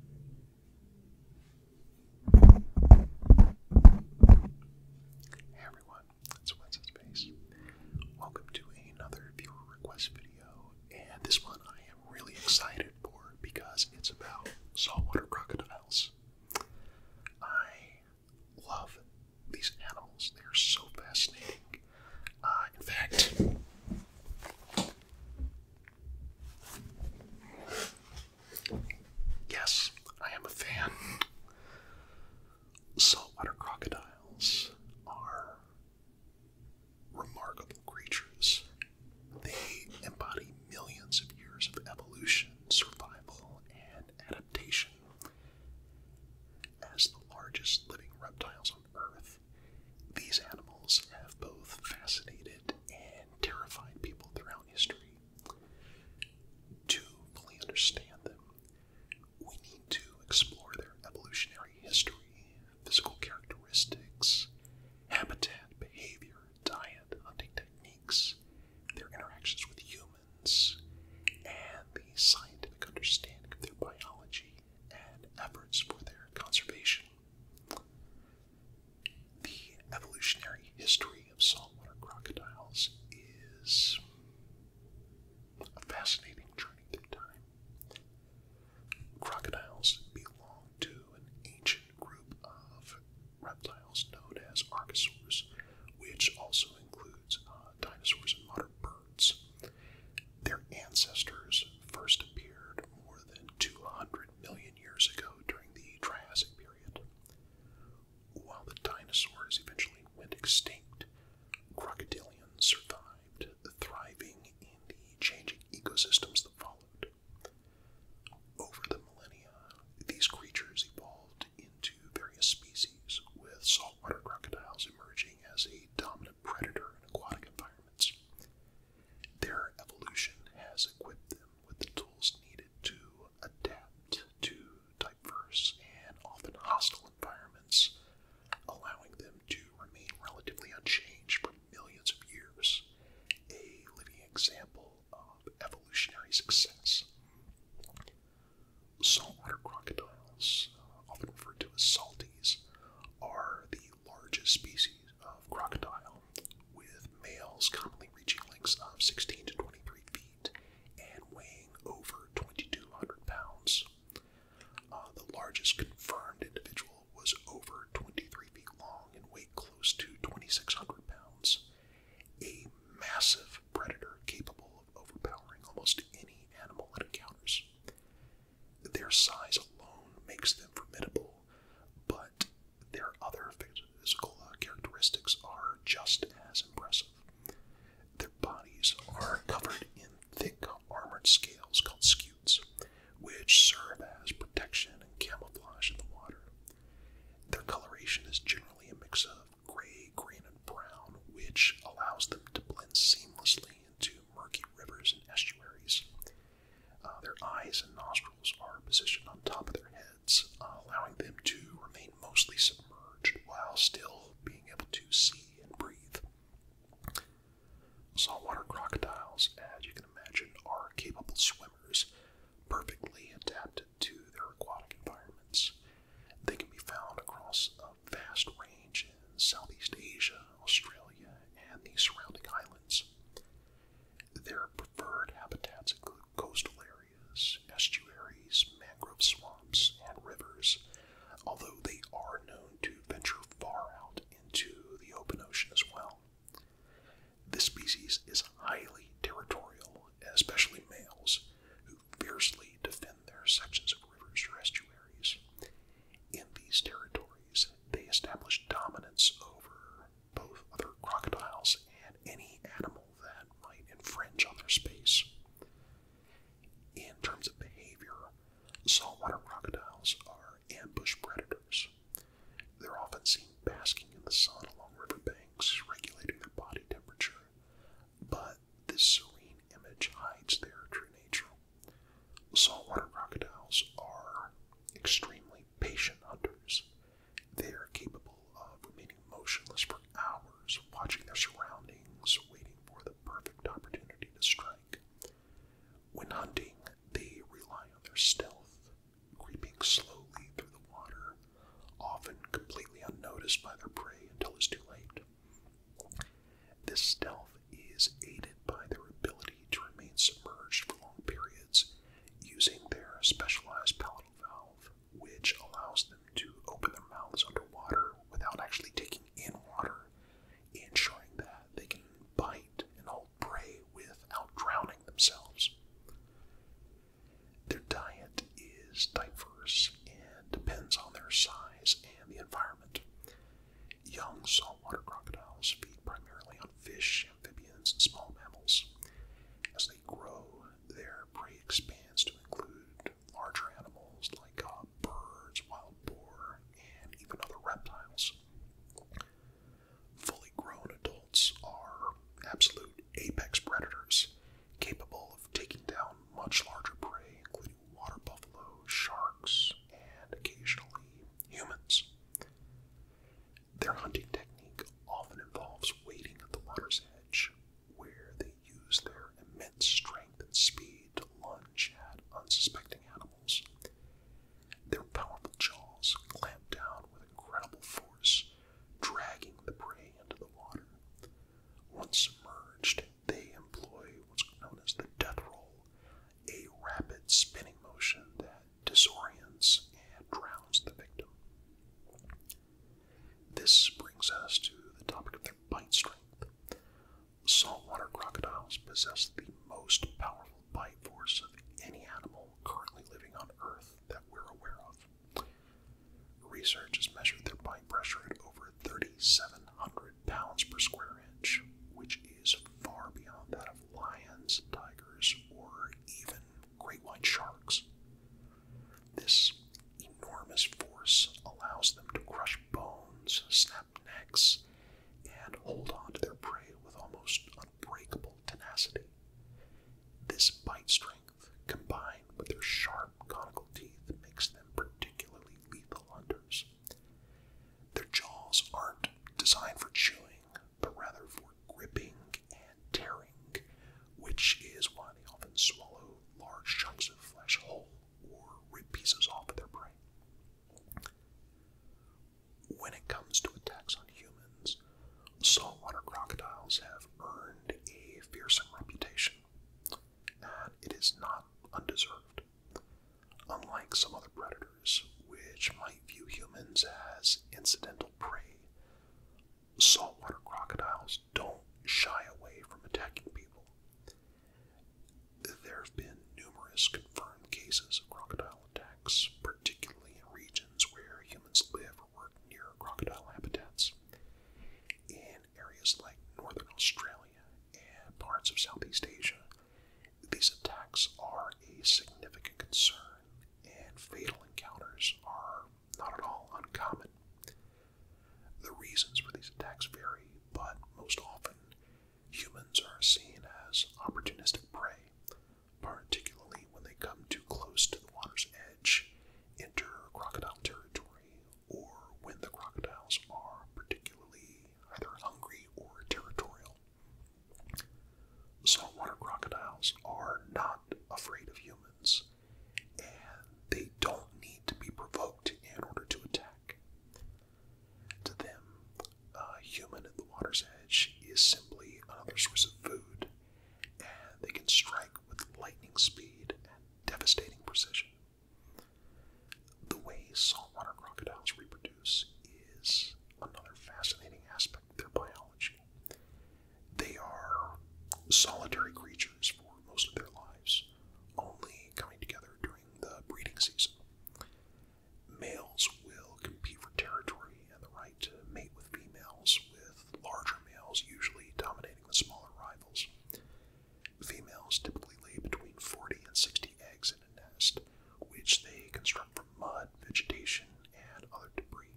Hey everyone, it's Wednesday Space. Welcome to another viewer request video, and this one I am really excited for because it's about saltwater crocodiles. I love these animals, they are so fascinating. Uh, in fact, Yes, I am a fan. Saltwater crocodiles are remarkable creatures. They embody millions of years of evolution, survival, and adaptation. As the largest living reptiles Earth. These animals have both fascinated and terrified people throughout history. To fully understand them, we need to explore their evolutionary history, physical characteristics, habitat, behavior, diet, hunting techniques, their interactions with humans, and the scientific understanding of their biology and efforts for their conservation. The evolutionary history of saltwater crocodiles is a fascinating journey through time. Crocodiles belong to an ancient group of reptiles known as archosaurs, which also includes uh, dinosaurs and modern birds. Their ancestors first appeared more than 200 million years ago during the Triassic period. While the dinosaurs eventually went extinct, crocodilians survived, thriving in the changing ecosystems that followed. Over the millennia, these creatures evolved into various species, with saltwater crocodiles emerging as a dominant predator in aquatic environments. Their evolution has equipped them with the tools needed to adapt to diverse and often hostile environments, allowing them to remain relatively unchanged for millions of years. A living example of evolutionary success. Saltwater crocodiles, often referred to as salties, are the the largest species of crocodile, with males commonly reaching lengths of 16 to 23 feet and weighing over 2,200 pounds. Uh, the largest confirmed individual was over 23 feet long and weighed close to 2,600 pounds. A massive predator capable of overpowering almost any animal it encounters. Their size alone makes them formidable, but their other physical uh, characteristics are just as impressive. Their bodies are covered in thick armored scales called scutes, which serve as protection and camouflage in the water. Their coloration is generally a mix of gray, green, and brown, which allows them to blend seamlessly into murky rivers and estuaries. Uh, their eyes and nostrils are positioned on top of their heads, uh, allowing them to remain mostly submerged while still being able to see and breathe. Saltwater crocodiles, as you can imagine, are capable swimmers, perfectly adapted to their aquatic environments. They can be found across um, vast range in Southeast Asia, Australia, and the surrounding islands. Their preferred habitats include coastal areas, estuaries, mangrove swamps, and rivers, although they are known to venture far out into the open ocean as well. This species is highly territorial, especially males, who fiercely defend their sections of rivers or estuaries. In these territories, they establish dominance over both other crocodiles and any animal that might infringe on their space. In terms of behavior, saltwater crocodiles are ambush predators. They're often seen basking in the sun along river banks, regulating their body temperature, but this serene image hides their true nature. Saltwater crocodiles are extremely patient hunters. They are capable of remaining motionless for hours, watching their surroundings, waiting for the perfect opportunity to strike. When hunting, they rely on their stealth, creeping slowly through the water, often completely unnoticed by their prey until it's too late. This stealth is aided by their ability to remain submerged for long periods using their specialized palatal valve, which allows them to open their mouths underwater without actually taking in water, ensuring that they can bite and hold prey without drowning themselves. Their diet is diverse and depends on their size and the environment. Young saltwater crocodiles feed primarily on fish, amphibians, and small mammals. As they grow, their prey expands to include larger animals like uh, birds, wild boar, and even other reptiles. Fully grown adults are absolute apex predators capable of taking down much larger prey, including water buffalo, sharks, and occasionally humans. Their hunting technique often involves waiting at the water's edge, where they use their immense strength and speed to lunge at unsuspecting animals. Their powerful jaws clamp down with incredible force, dragging the prey into the water. Once submerged, they employ what's known as the death roll, a rapid spinning motion that disorients and drowns the victim. This brings us to the topic of their bite strength. Saltwater crocodiles possess the most powerful bite force of any animal currently living on Earth that we're aware of. Research has measured their bite pressure at over 3,700 pounds per square inch, which is far beyond that of lions, tigers, or even great white sharks. This enormous force allows them to crush bones, snap necks, and hold on to their prey with almost unbreakable tenacity. This bite strength, combined with their sharp conical teeth, makes them particularly lethal hunters. Their jaws aren't designed for chewing, but rather for gripping and tearing, which is why they often swallow large chunks of flesh whole or rip pieces off of their prey. When it comes to attacks on humans, saltwater crocodiles have earned a fearsome reputation, and it is not undeserved. Unlike some other predators, which might view humans as incidental prey, saltwater crocodiles don't shy away from attacking people. There have been numerous confirmed cases of crocodile attacks, particularly in regions where humans humans live or work near crocodile habitats. In areas like northern Australia and parts of Southeast Asia, these attacks are a significant concern, and fatal encounters are not at all uncommon. The reasons for these attacks vary, but most often humans are seen as opportunistic prey particularly when they come too close to the water's edge, enter crocodile territory, or when the crocodiles are particularly either hungry or territorial. Saltwater crocodiles are not afraid of humans, and they don't need to be provoked in order to attack. To them, a human at the water's edge is simply another source of food they can strike with lightning speed and devastating precision. The way saltwater crocodiles reproduce is another fascinating aspect of their biology. They are solitary creatures for most of their lives, only coming together during the breeding season. Males will compete for territory and the right mate with females, with larger males usually dominating the smaller rivals. Females typically lay between 40 and 60 eggs in a nest, which they construct from mud, vegetation, and other debris.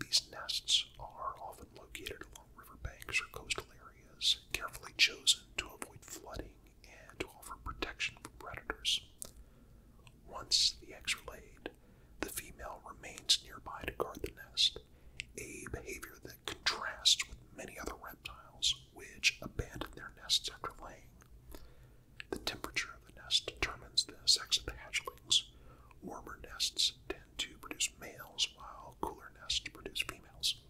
These nests are often located along riverbanks or coastal areas, carefully chosen to avoid flooding and to offer protection from predators. Once the eggs are laid, the female remains nearby to guard the nest, a behavior that contrasts with many other reptiles which abandon their nests after laying. The temperature of the nest determines the sex of the hatchlings. Warmer nests tend to produce males, while cooler nests produce females.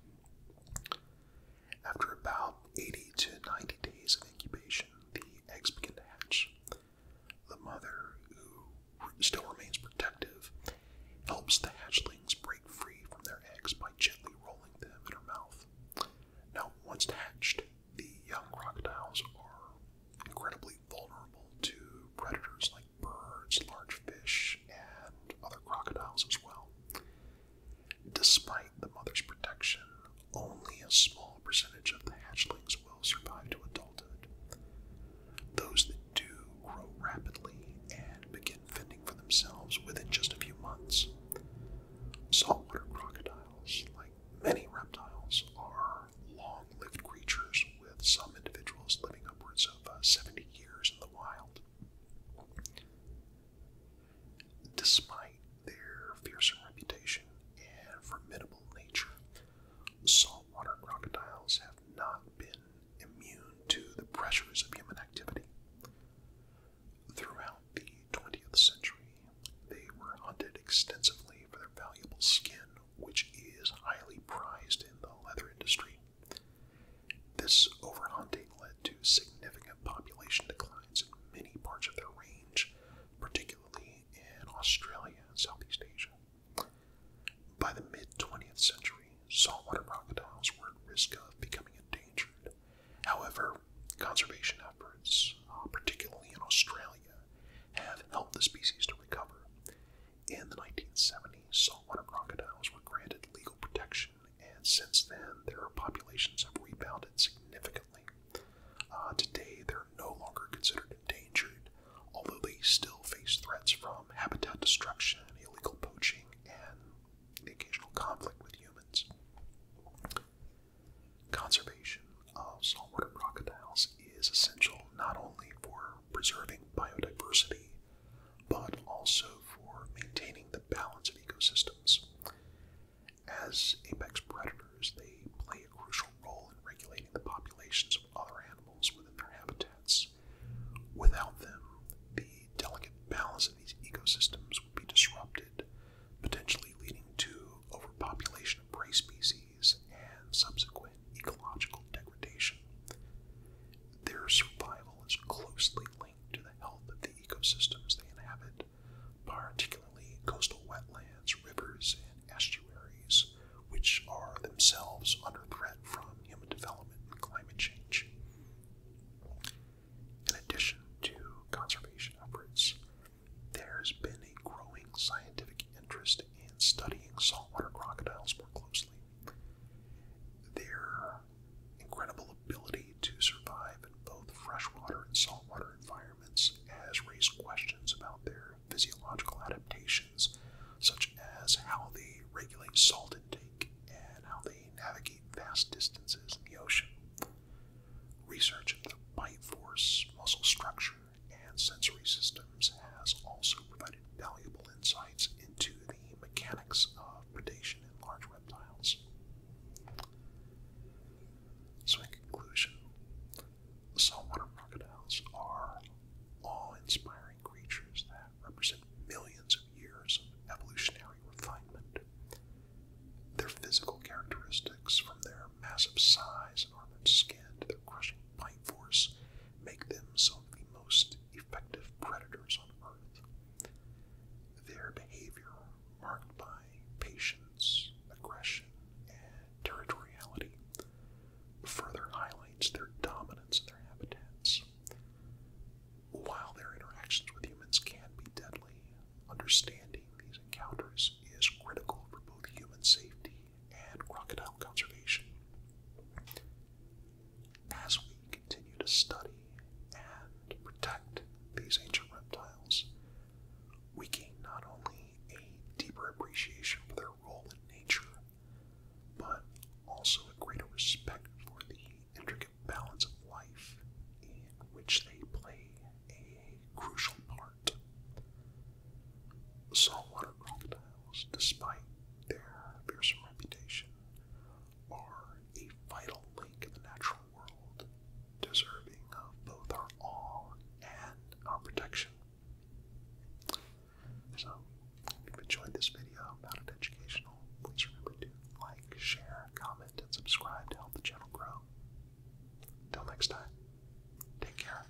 After about 80 to 90 days of incubation, the the eggs begin to hatch. The mother, who still remains protective, helps the hatchlings break free from their eggs by gently rolling them in her mouth. Now, once hatched, the young crocodiles are incredibly vulnerable to predators like birds, large fish, and other crocodiles as well. Despite the mother's protection, only a small percentage of the hatchlings will survive to adulthood. Those that do grow rapidly and begin fending for themselves within just a few months. Saltwater crocodiles, like many reptiles, are long lived creatures, with some individuals living upwards of uh, 70 years in the wild. Despite their fearsome reputation and formidable nature, saltwater crocodiles have not been immune to the pressures of human activity. Throughout the 20th century, they were hunted extensively for their valuable skin, which is highly prized in the leather industry. This overhunting led to significant population declines in many parts of their range, particularly in Australia and Southeast Asia. By the mid 20th century, saltwater crocodiles were at risk of becoming endangered. However, conservation efforts, uh, particularly in Australia, have helped the species to recover. In the 1970s, saltwater crocodiles were granted legal protection and since then their populations have rebounded significantly. Uh, today, they're no longer considered endangered, although they still face threats from habitat destruction, illegal poaching, and occasional conflict with humans. Conservation of saltwater crocodiles is essential not only for preserving biodiversity, but also for maintaining the balance of ecosystems. As apex predators, they play a crucial role in regulating the populations of other animals within their habitats. Without them, the delicate balance of these ecosystems would be disrupted, potentially leading to overpopulation of prey species and subsequent ecological degradation. Their survival is closely linked to the health of the ecosystems they inhabit, particularly coastal wetlands, rivers, and estuaries, which are themselves under threat from human development and climate change. In addition to conservation efforts, there's been a growing scientific interest in studying saltwater crocodiles more closely. There her incredible ability to survive in both freshwater and saltwater environments has raised questions about their physiological adaptations, such as how they regulate salt intake and how they navigate vast distances in the ocean. Research into bite force, muscle structure, and sensory systems has also provided valuable insights into the mechanics of predation in large so, in conclusion, saltwater crocodiles are awe inspiring creatures that represent millions of years of evolutionary refinement. Their physical characteristics, from their massive size and armored skin to their crushing bite force, make them some of the most effective predators on Earth. Their behavior marked by patience, aggression, and territoriality further highlights their dominance in their habitats. While their interactions with humans can be deadly, understanding these encounters is critical for both human safety and crocodile conservation. As we continue to study and protect these ancient reptiles, we gain not only a deeper appreciation for their role in nature, but also a greater respect for the intricate balance of life in which they play a crucial part. Saltwater crocodiles, despite their fearsome reputation, are a vital link in the natural world, deserving of both our awe and our protection. So, if you've enjoyed this video, found it educational, please remember to like, share, comment, and subscribe to help the channel grow. Until next time, take care.